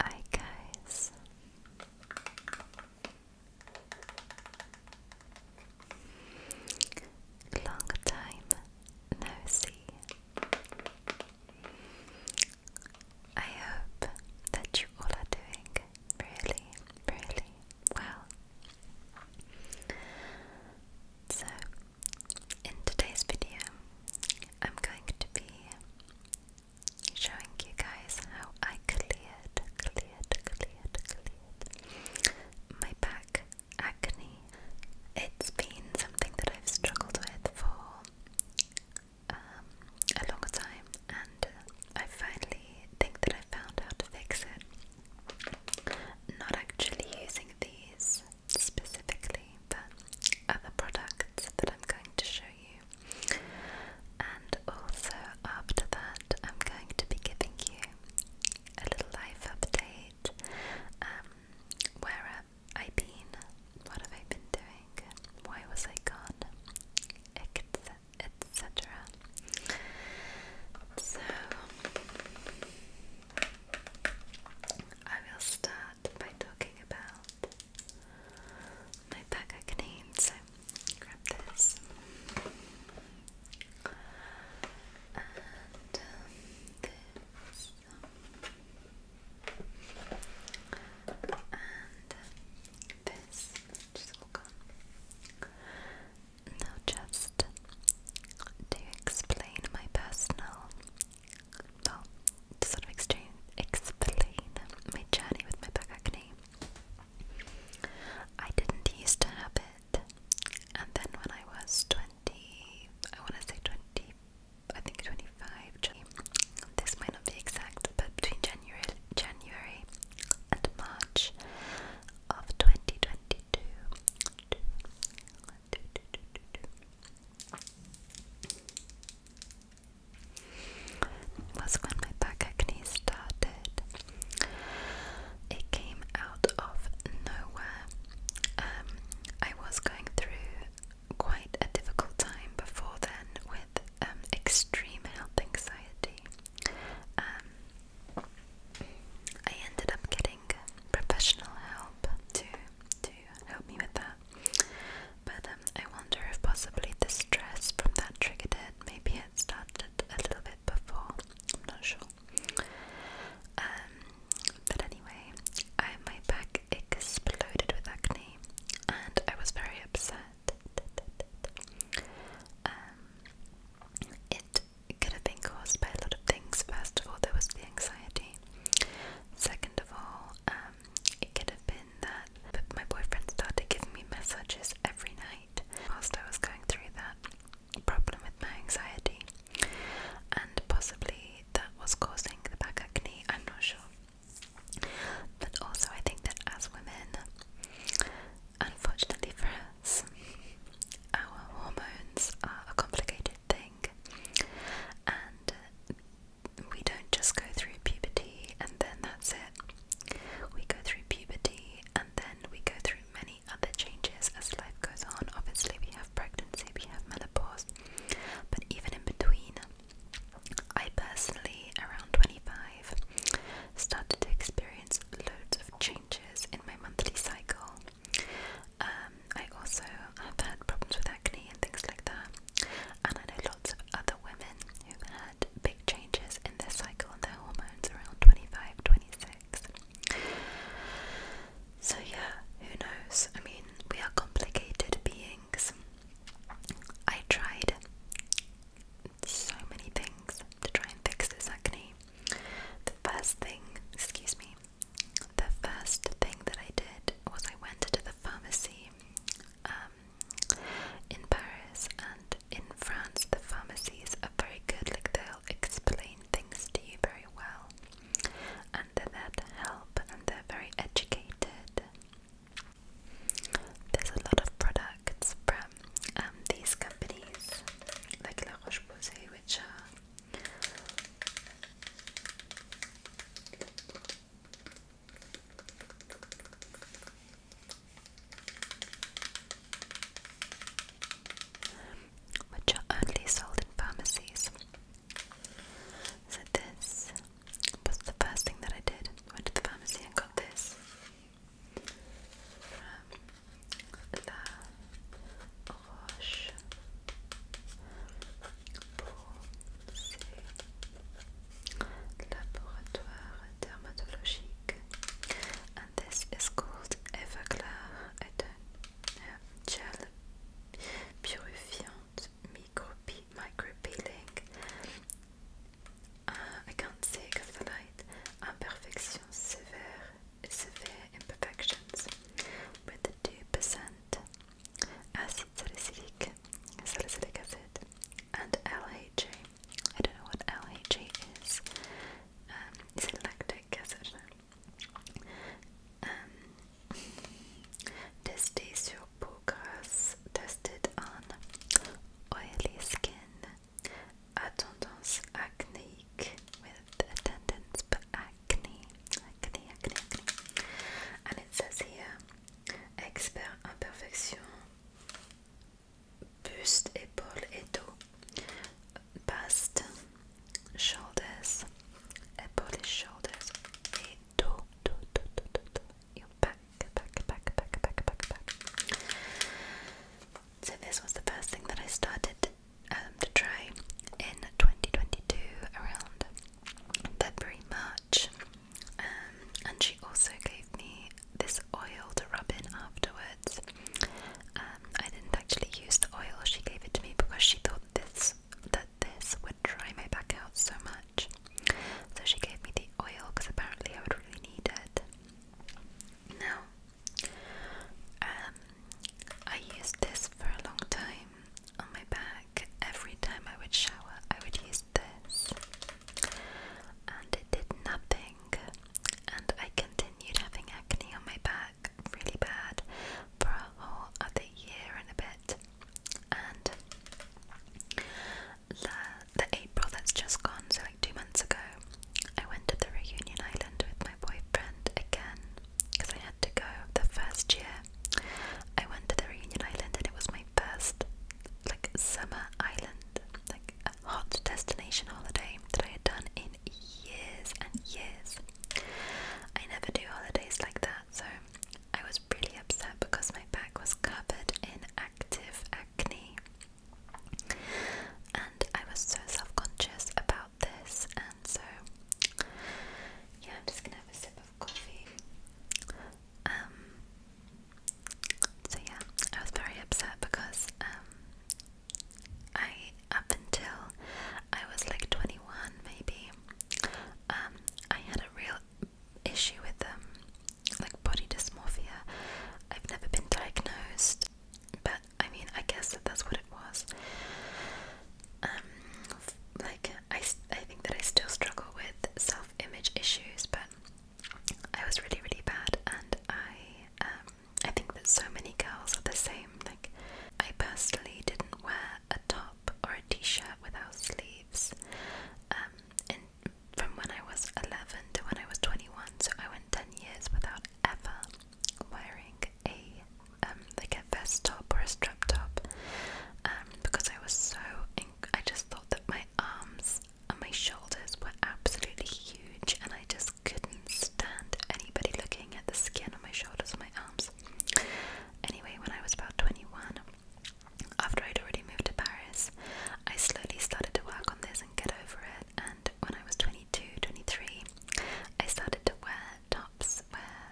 Hi guys. Long time no see. I hope that you all are doing really, really well. So, in today's video, I'm going to be showing you guys how I cleared, cleared, cleared, cleared my back acne. It's been something that I've struggled with for um, a long time, and I finally think that I found how to fix it. Not actually using the specifically, but other products that I'm going to show you. And also, after that, I'm going to be giving you a little life update. Um, where have I been? What have I been doing? Why was I gone? Etc. So, I will start by talking about my back acne. So grab this and this and this. Just walk on. Now just to explain my personal well, to sort of explain, my journey with my back I didn't used to have it, and then when I was 20, I want to say 20, I think 25, this might not be exact, but between January, January and March of twenty twenty two, two, two, two, two, two. Was when my back acne started. It came out of nowhere. Um, I was going through quite a difficult time before then with um, extreme health anxiety. Um, I ended up getting professional help to to help me with that. But um, I wonder if possibly the stress from that triggered Maybe it started a little bit before. I'm not sure. Um, but anyway, my back exploded with acne, and I was very upset. Um, it it could have been caused by a lot of things. First of all, there was the anxiety. Second of all, um, it could have been that my boyfriend started giving me messages every night whilst I was going through that problem with my anxiety. And possibly that was causing the back acne, I'm not sure. But also, I think that as women, unfortunately for us, our hormones are complicated thing. And we don't just go through puberty and then that's it. We go through puberty and then we go through many other changes as life goes on. Obviously, we have pregnancy, we have menopause, but even in between, I personally, around 25, started to experience loads of changes in my monthly cycle. Um, I also have had problems with acne and things like that, and I know lots of other women who've had big changes in their cycle and their hormones around 25, 26. So, yeah, who knows? I mean, we are complicated beings. I tried so many things to try and fix this acne. The first thing, excuse me, the first thing that I did was I went to the pharmacy um, in Paris and in France the pharmacies are very good like they'll explain things to you very well and they're there to help and they're very educated there's a lot of products from um, these companies like La Roche-Posay which are which are only sold in pharmacies. So, this was the first thing that I did. Went to the pharmacy and got this. la roche pour Posay Laboratoire dermatologique and this is called et un Gel Purifiant Micropeeling micro I can't say the light Imperfection sévère severe imperfections with 2% acid salicylic, acid and LHA. don't know what LHA is. is um, it lactic acid? Um, tester sur peau grasse tested on oily skin, a tendance acneique with a acné. Acné, acné, And it says expert imperfection, buste, épaules et dos. Bust, shoulders, épaule et shoulders. Et dos, back, back, back, back, back, back. So this was the first thing that I started um, to try in 2022 around February, March. Um, and she also gave me this oil to rub in afterwards. Um, I didn't actually use the oil; she gave it to me because she thought this that this would dry my back out so much. So she gave me the oil because apparently I would really need it. Now um, I used this for a long time on my back. Every time I would shower, I would use this, and it did nothing. And I continued having acne on my back really bad for a whole other year and a bit. And the, the April that's just gone, so like two months ago, I went to the reunion island with my boyfriend again because I had to go the first year. I went to the Reunion Island and it was my first like summer island, like a hot destination holiday that I had done in years and years. I never do holidays like that, so I was really upset because my back was covered in active acne. And I was so self conscious about this, so, yeah, I'm just gonna have a sip of coffee. Um, so yeah, I was very upset because, um, I, up until I was like 21, maybe, um, I had a real issue with, um, like body dysmorphia. I've never been diagnosed, but I mean, I guess that that's what it was. Um, like I, I think that I still struggle with self-image issues, but I was really, really bad, and I, um, I think that so many girls are the same. Like, I personally didn't wear a top or a t-shirt without sleeves, um, from when I was 11 to when I was 21. So I went 10 years without ever wearing a um, like a vest top or a strap top um, because I was so I just thought that my arms and my shoulders were absolutely huge and I just couldn't stand anybody looking at the skin on my shoulders and my arms. Anyway, when I was about 21, after I'd already moved to Paris, I slowly started to work on this and get over it when I was 22, 23, I started to wear tops where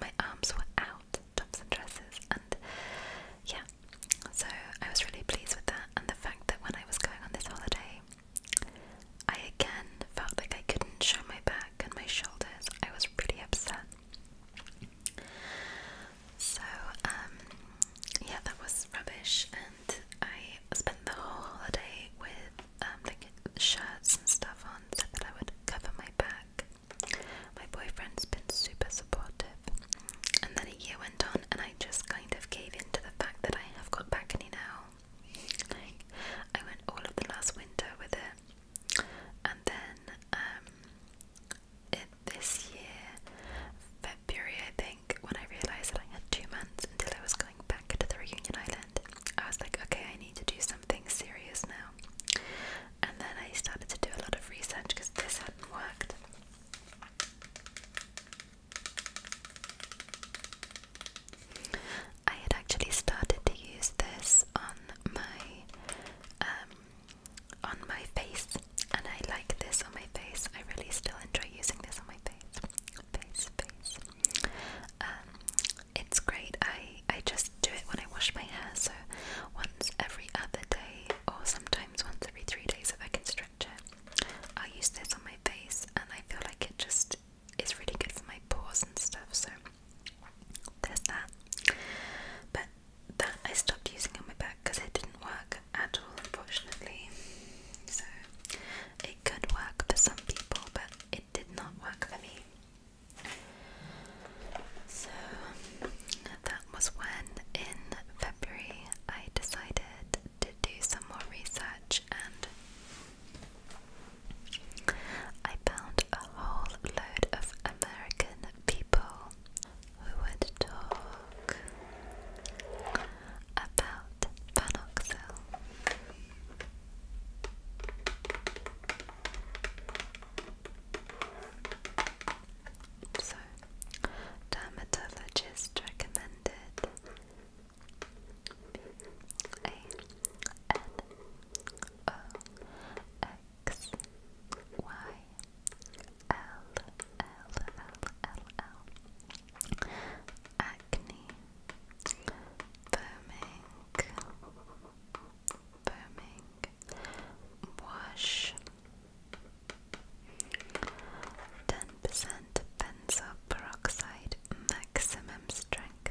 my arms were out, tops and dresses, and yeah, so I was really pleased with that, and the fact that when I was going on this holiday, I again felt like I couldn't show my back and my shoulders. I was really upset. So, um, yeah, that was rubbish, I spent the whole holiday with um, like shirts and stuff on so that I would cover my back. My boyfriend's been super supportive. And then a year went on, and I just kind of gave in to the fact that I have got back acne now. I went all of the last winter with it, and then um, it, this year, February I when I realised that I had two months until I was going back to the reunion island, I was like, okay, I need to do something serious now. And then I started to do a lot of research because this hadn't worked. I had actually started to use this on my um, on my face, and I like this on my face. I really still enjoy using this on my face, face, face, um, it's great. I I just do it when I wash my hair, so once every other day, or sometimes once every three days if I can stretch it. I use this on my face, and I feel like it just is really good for my pores and stuff. So there's that. But that I stopped using on my back because it didn't work at all, unfortunately. So it could work for some people, but it did not work for me. So that was when, in February, I decided to do some more research and I found a whole load of American people who would talk about Panoxel. So, dermatologist recommended A N O X Y L L L L L acne, foaming, foaming, wash, 10% benzoyl peroxide, maximum strength,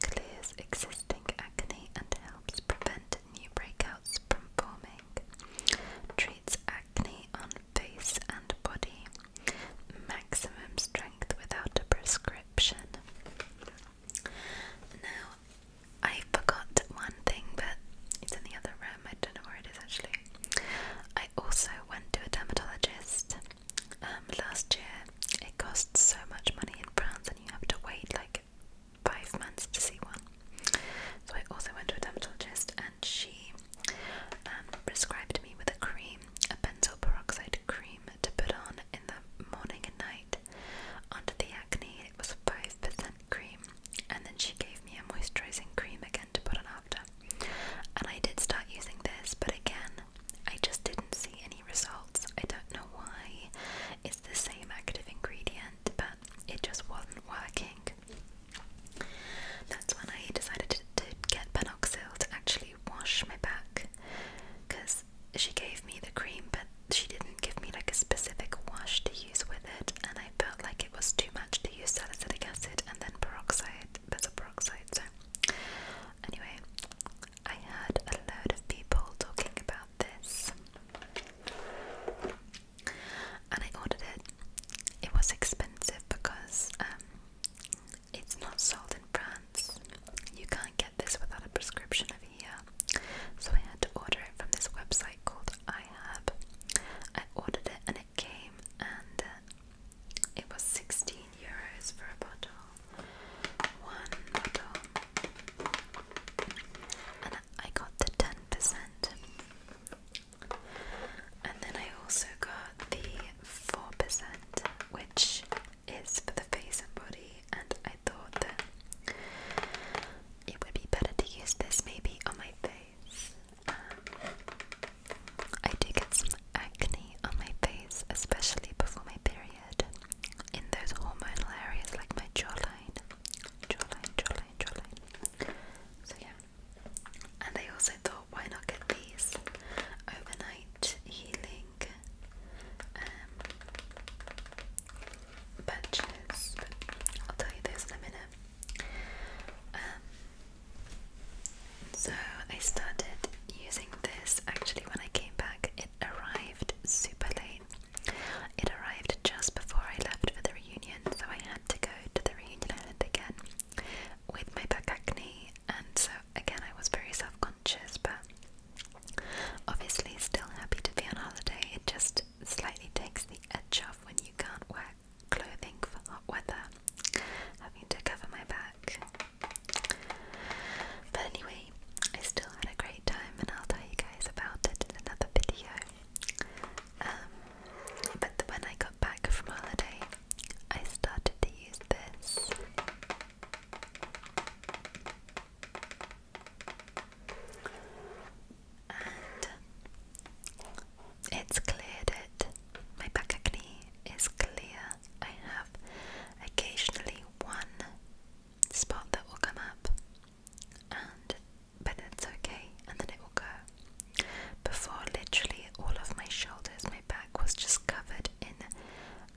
clears existing acne and helps prevent new breakouts from forming, treats acne on face and body Maximum strength without a prescription. Now, I forgot one thing, but it's in the other room. I don't know where it is actually. I also went to a dermatologist um, last year. It costs so much money in France, and you have to wait like five months to see one. So I also went to a dermatologist, and she um, prescribed me with a cream, a benzoyl peroxide cream to put on in the morning and night onto the acne. It was 5% cream, and then she gave me a moisturizing cream again to put on after. And I did start using this, but again, I just didn't see any results. I don't know why. It's the same active ingredient, but it just wasn't working. That's when I decided to, get Panoxil to actually wash my back because she gave me the cream, but she didn't give me like a specific wash to use with it, and I felt like it was too much to use salicylic acid and then peroxide, benzoyl peroxide. So, anyway, I heard a load of people talking about this, and I ordered it. It was expensive because um, it's not sold in France. You can't get this without a prescription over here. So I had to order it from this website called iHerb. I ordered it and it came and uh, it was 16 euros for a bottle. One bottle. And I got the 10%. And then I also got the 4%, which is for the face and body, and I thought that it would be better to use this maybe on my face. Um, I do get some acne on my face, especially before my period, in those hormonal areas like my jawline. Jawline, jawline, jawline. So, yeah. And I also thought, why not get these overnight healing um, patches? But I'll tell you this in a minute. Um, so I started using this actually when I came back. It arrived super late. It arrived just before I left for the reunion, so I had to go to the reunion island again with my back acne, and so again, I was very self conscious, but obviously, still happy to be on holiday. It just slightly takes the edge off when you can't wear clothing for hot weather, having to cover my back. But anyway, I still had a great time, and I'll tell you guys about it in another video. Um, but when I got back from holiday, I started to use this and it's cleared it. My back acne is clear. I have occasionally one spot that will come up and but that's okay and then it will go. Before, literally all of my shoulders, my back was just covered in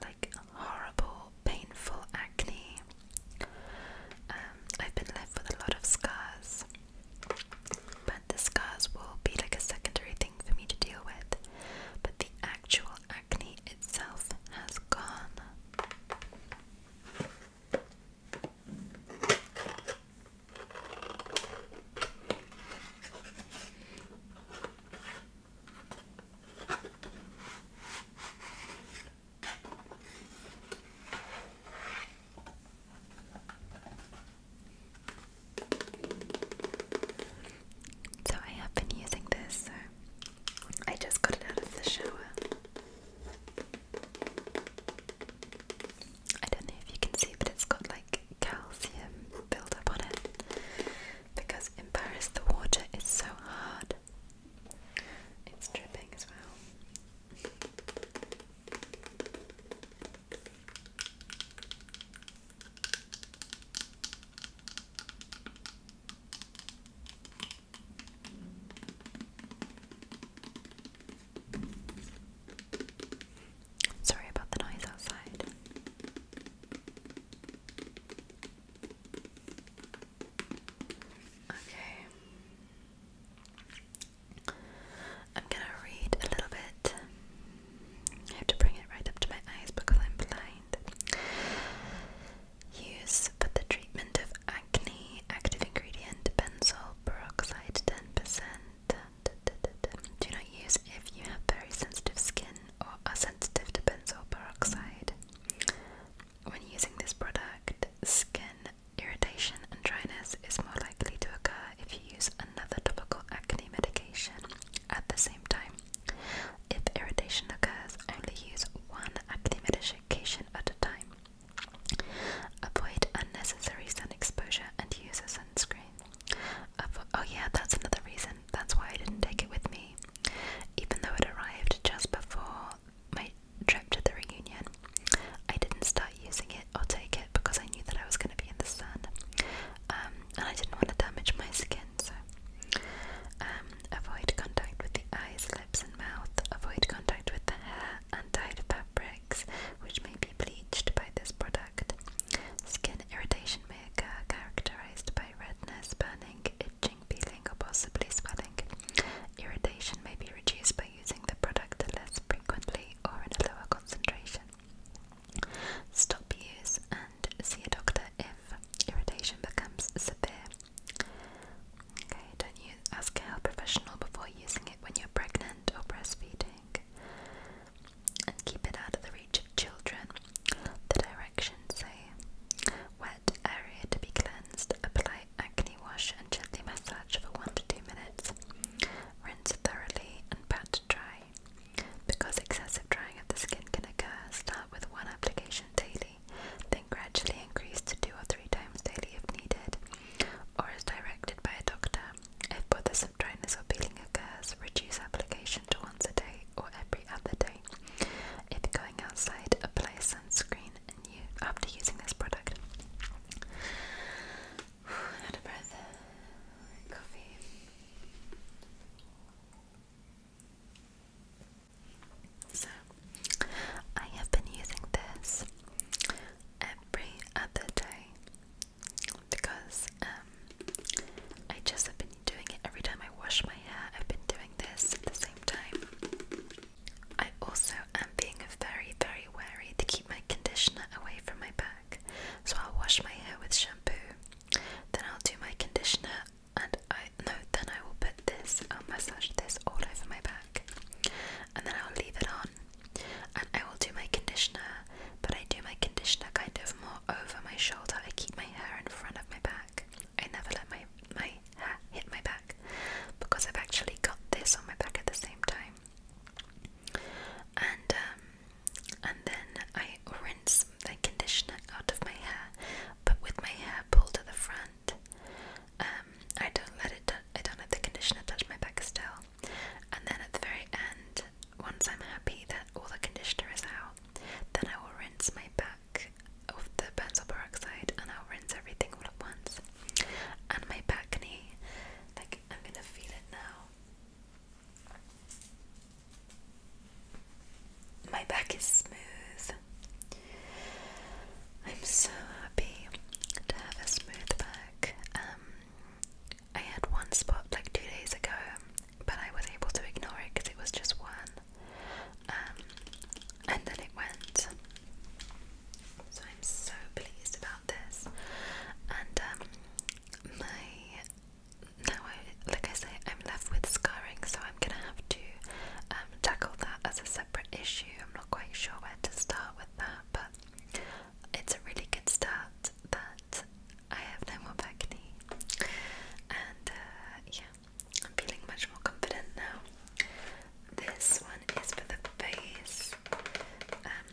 like horrible, painful acne. Um, I've been left with a lot of scars, but the scars will be like a secondary thing for me to deal with. But the actual acne itself has gone. So I have been using this, I just got it out of the shower. I don't know if you can see, but it's got like calcium build up on it because in Paris the water is so hard. It's dripping as well. Sorry about the noise outside. Okay. I'm gonna read a little bit. I have to bring it right up to my eyes because I'm blind. Use for the treatment of acne, active ingredient benzoyl peroxide 10%, do not use if you have very sensitive skin or are sensitive to benzoyl peroxide. When using this product, skin irritation and dryness is more likely to occur if you use another topical acne medication at the same time. If irritation occurs, only use one acne medication at a time. Avoid unnecessary sun exposure and use a sunscreen. Oh, yeah, that's another reason. That's why I didn't take it with me, even though it arrived just before my trip to the reunion. I didn't start using it or take it because I knew that I was going to be in the sun, um, and I didn't want to damage my skin. So, um, avoid contact with the eyes, lips, and mouth. Avoid contact with the hair and fabrics, which may be bleached by this product. Skin irritation may occur, characterized by redness, burning, itching, peeling, or possibly swelling. Irritation may be reduced by using the product less frequently or in a lower concentration. Stop use and see a doctor if irritation becomes severe. Okay, don't use, ask a professional before using it when you're pregnant or breastfeeding and keep it out of the reach of children. The directions say wet area to be cleansed, apply acne wash and gently massage for 1 to 2 minutes. Rinse thoroughly and pat dry. Because excessive drying of the skin can occur, start with one application daily, then gradually increase to two or three times daily if needed, or as directed by a doctor. If bothersome dryness or peeling occurs, reduce application to once a day or every other day. If going outside, apply sunscreen and you after using this product. Out of breath. Coffee. So, I have been using this every other day because um, I just have been doing it every time I wash my hair. I've been doing this at the same time. I also am being very, very wary to keep my conditioner away from my back. So I'll wash my hair with shampoo, then I'll do my conditioner, and I no, then I will put this. I'll massage this all over my back, and then I'll leave it on and I will do my conditioner, but I do my conditioner kind of more over my shoulder. I keep my hair in front of my back. I never let my my hair hit my back because I've actually got this on my back at the same time. And um, and then I rinse the conditioner out of my hair, but with my hair pulled to the front. Um, I don't let it. I don't let the conditioner touch my back still. And then at the very end, once I'm happy that all the conditioner is out, then I will rinse my back of the benzoyl peroxide and I'll rinse everything all at once. And my back knee, like I'm gonna feel it now. My back is smooth. I'm so happy to have a smooth back. Um, I had one spot like two days ago, but I was able to ignore it because it was just one. Um, and then it went. So I'm so pleased about this. And um, my now I like I say I'm left with scarring, so I'm gonna have to um, tackle that as a separate issue. I'm not quite sure where to start with that, but it's a really good start, but I have no more back knee, and uh, yeah, I'm feeling much more confident now. This one is for the face. Um,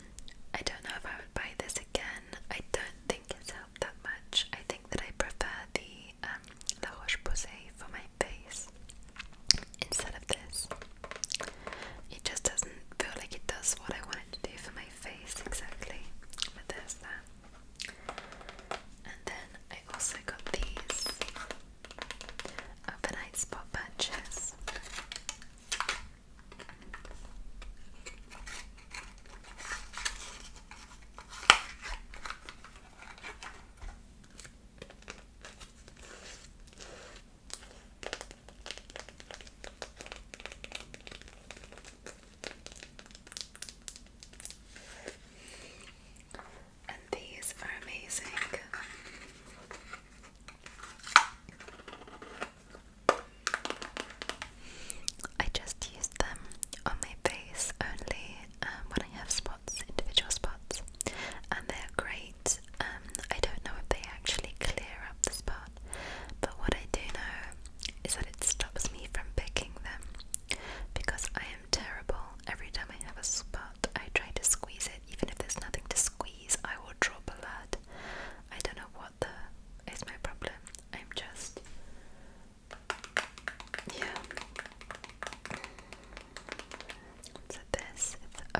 I don't know if I would buy this again. I don't think it's helped that much. I think that I prefer the um, Roche Posay for my face instead of this. It just doesn't feel like it does what I want it to do for my face exactly. But there's And then I also got these overnight spot patches. And these are amazing. I just use them on my face only um, when I have spots, individual spots, and they're great um, I don't know if they actually clear up the spot, but what I do know is that it stops me from picking them because I am terrible. Every time I have a spot, I try to squeeze it, even if there's nothing to squeeze, I will drop a lot. I don't know what the is my problem. I'm just. Yeah. So this is the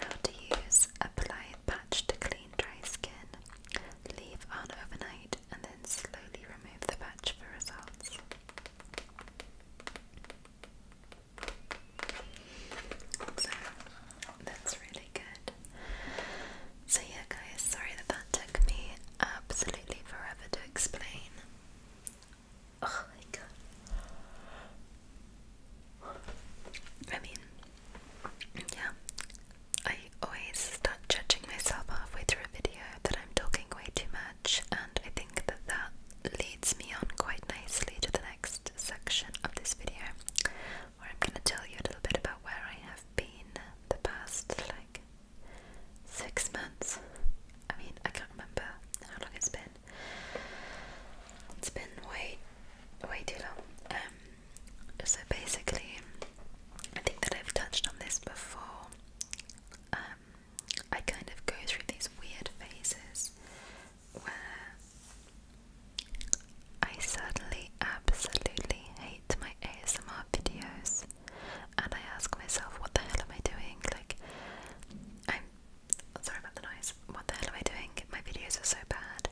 How to use apply patch to clean dry skin, leave on overnight, and then slowly remove the patch for results. So that's really good. So, yeah, guys, sorry that that took me absolutely forever to explain. Oh my god. I mean, yeah, I always start judging myself halfway through a video that I'm talking way too much, and I think that that leads me on quite nicely to the next section of this video where I'm going to tell you a little bit about where I have been the past like six months. I mean, I can't remember how long it's been, it's been way, way too long. Um, so basically, I think that I've touched on this before. Um, I kind of go through these weird phases where I suddenly absolutely hate my ASMR videos and I ask myself, what the hell am I doing? Like, I'm Sorry about the noise. What the hell am I doing? My videos are so bad.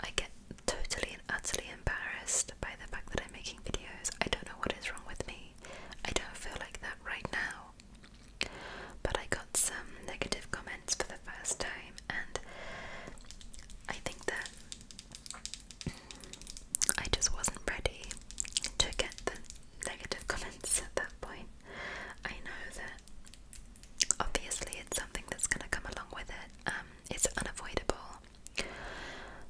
I get totally and utterly embarrassed by the fact that I'm making videos. I don't know what is wrong with me. I don't feel like that right now. But I got some negative comments for the first time, and I think that I just wasn't ready to get the negative comments at that point. I know that Obviously, it's something that's going to come along with it. Um, it's unavoidable.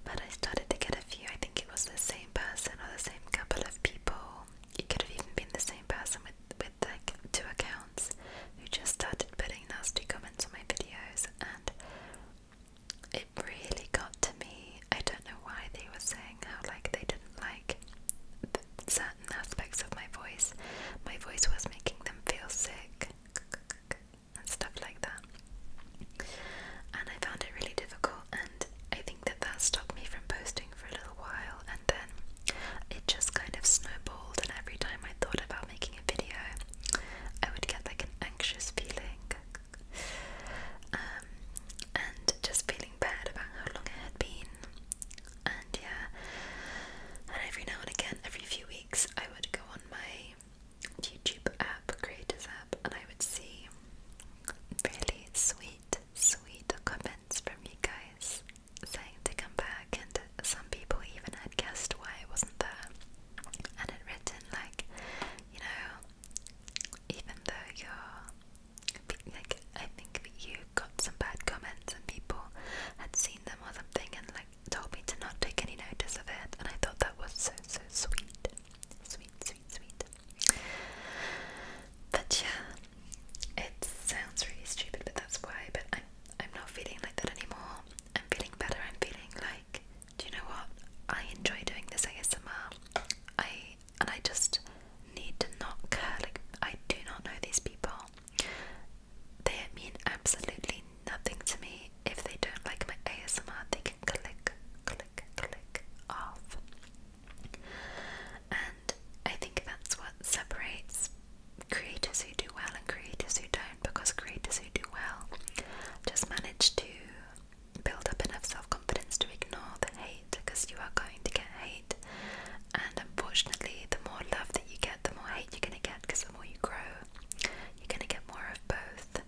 But I started to get a few. I think it was the same person or the same couple of people. It could have even been the same person with with like two accounts who just started putting nasty comments on my videos, and it really got to me. I don't know why they were saying how like they didn't like certain aspects of my voice. My voice was making them feel sick and stuff like that. And I found it really difficult, and I think that that stopped me from posting for a little while. And then it just kind of snowballed, and every time I thought about making a video, I would get like an anxious feeling. Um, and just feeling bad about how long it had been and yeah, and every now and again, every few weeks, I would go on my YouTube app, creators app, and I would see really sweet, sweet comments from you guys saying to come back, and some people even had guessed why I wasn't there, and had written like, you know, even though you're like I think you got some bad comments and people had seen them or something and like told me to not take any notice of it and I thought that was so so sweet. Sweet, sweet, sweet. But yeah, it sounds really stupid, but that's why. But I'm I'm not feeling like that anymore. I'm feeling better. I'm feeling like, do you know what? I enjoy doing this ASMR. I and I just need to not care. Like I do not know these people. They mean absolutely nothing to me. If they don't like my ASMR, they can click, click, click off. And I think that's what separates creators who do well and creators who don't, because creators who do well just manage to build up enough self confidence to ignore the hate because you are going to get hate. And unfortunately, the more love that you get, the more hate you're going to get because the more you grow, you're going to get more of both.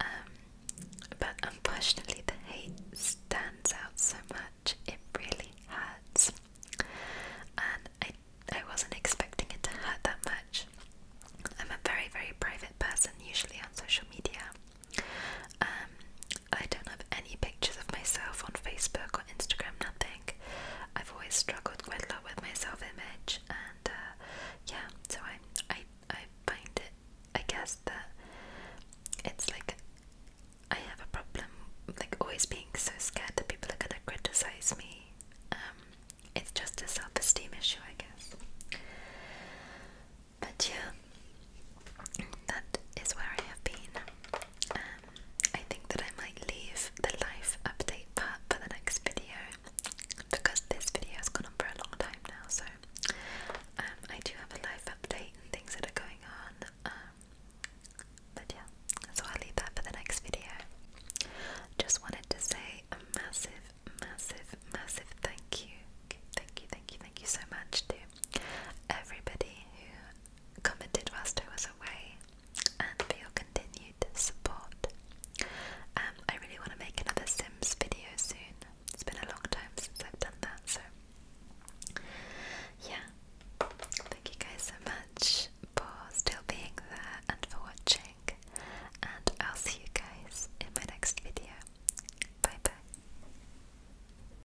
Um, but unfortunately, the hate stands out so much, it really hurts. And I, I wasn't expecting it to hurt that much. I'm a very, very private person, usually on social media. Um, I don't have any pictures of myself on Facebook or Instagram, nothing. I've always struggled quite a lot with my self image, and uh, yeah, so I, I, I find it, I guess, that it's like I have a problem, like always being so scared that people are gonna criticize me. Um, it's just a self esteem issue, I guess. But yeah, that is where I have been. Um, I think that I might leave the life update part for the next video because this video has gone on for a long time now. So um, I do have a life update and things that are going on. Um, but yeah, so I'll leave that for the next video. Just wanted to say a massive, massive, massive thank you. Thank you, thank you, thank you so much to everybody who commented whilst I was away and for your continued support. Um, I really want to make another Sims video soon. It's been a long time since I've done that, so yeah. Thank you guys so much for still being there and for watching. And I'll see you guys in my next video. Bye bye.